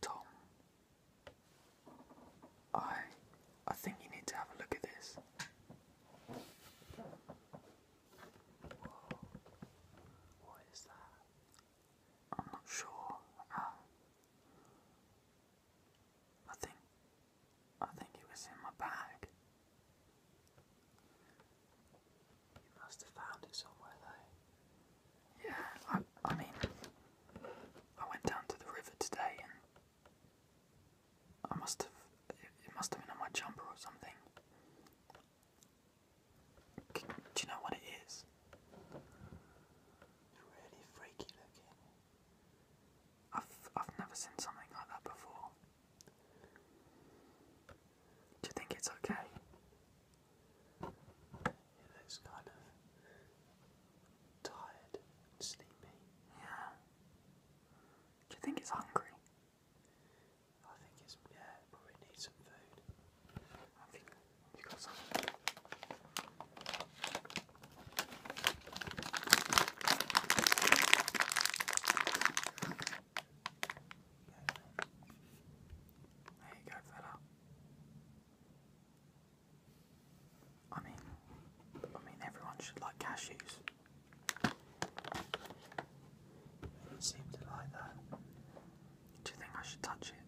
Tom, I I think you need to have a look at this. What is that? I'm not sure. I think I think it was in my bag. You must have found it somewhere though. Yeah, I I mean I went down to the river today and I must have it, must have been on my jumper or something. do you know what It's really freaky looking. I've I've never seen something like that before. Do you think it's okay? It looks kind of tired sleepy. Yeah. Do you think it's hungry? I think it's yeah, probably needs some food. There you go, fella. I mean, I mean, everyone should like cashews. It seems to like that. Do you think I should touch it?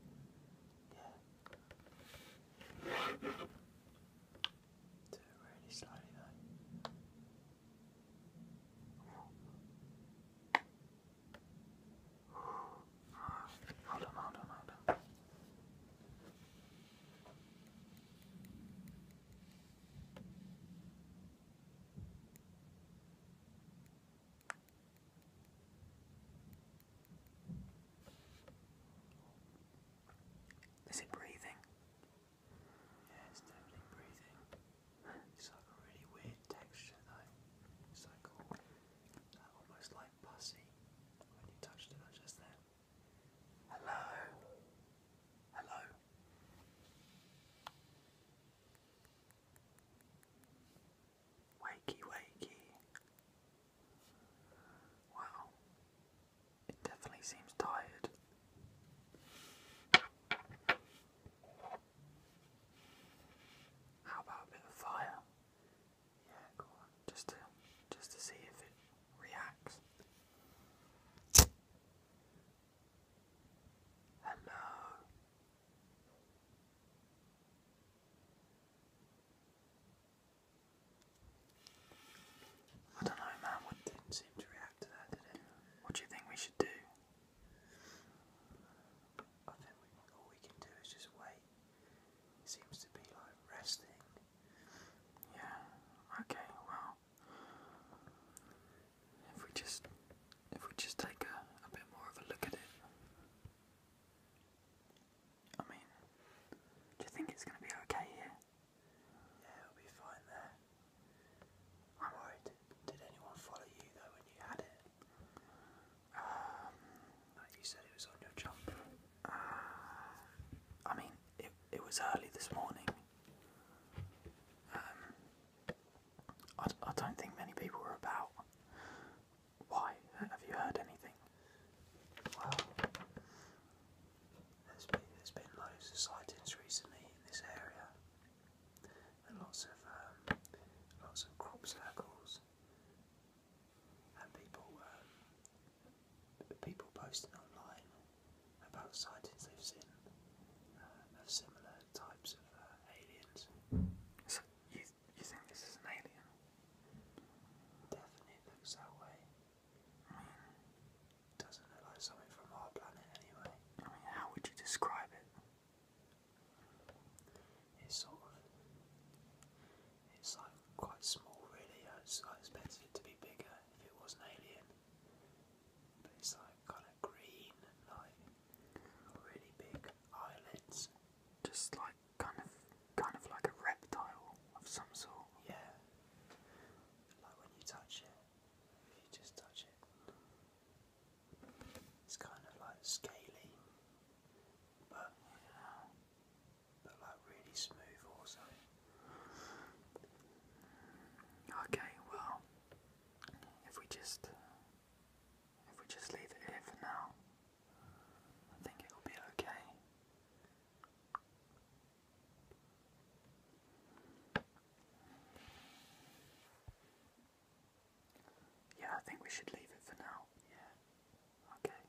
Yeah. Do it really slowly though. Hold on, hold on, hold on. Is it breathing? Yeah, it's definitely breathing. It's like a really weird texture though. It's like all, almost like pussy when you touched it just then. Hello? Hello? Wakey, wakey. Wow. It definitely seems tired. How about a bit of fire? Yeah, go on. Just to just to see if it reacts. Hello. I don't know, man. Wood not seem to react to that, did it? What do you think we should do? I think all we can do is just wait. seems to be like resting. Yeah, okay, well. If we just if we just take a, a bit more of a look at it. I mean, do you think it's gonna be okay here? Yeah, it'll be fine there. I'm worried. Did anyone follow you though when you had it? Um, like you said, it was on your jumper. Uh, I mean, it it was early this morning. Um, I, I don't think many people were about. Why? Have you heard anything? Well, there's been, there's been loads of sightings recently in this area, and lots of um, lots of crop circles, and people um, people posting online about sightings they've seen of uh, similar types of uh, aliens. you, you think this is an alien? Definitely looks that way. I mean, doesn't look like something from our planet anyway. how would you describe it? It's sort of, it's like quite small really. I expected it to be bigger if it was an alien. But it's like kind of green and like really big eyelids. Just like kind of kind of like a reptile of some sort. Yeah. Like when you touch it. If you just touch it. It's kind of like scaly. But yeah but like really smooth also. Okay, well, if we just if we just leave it here for now, I think it will be okay. Yeah, I think we should leave it for now. Yeah. Okay.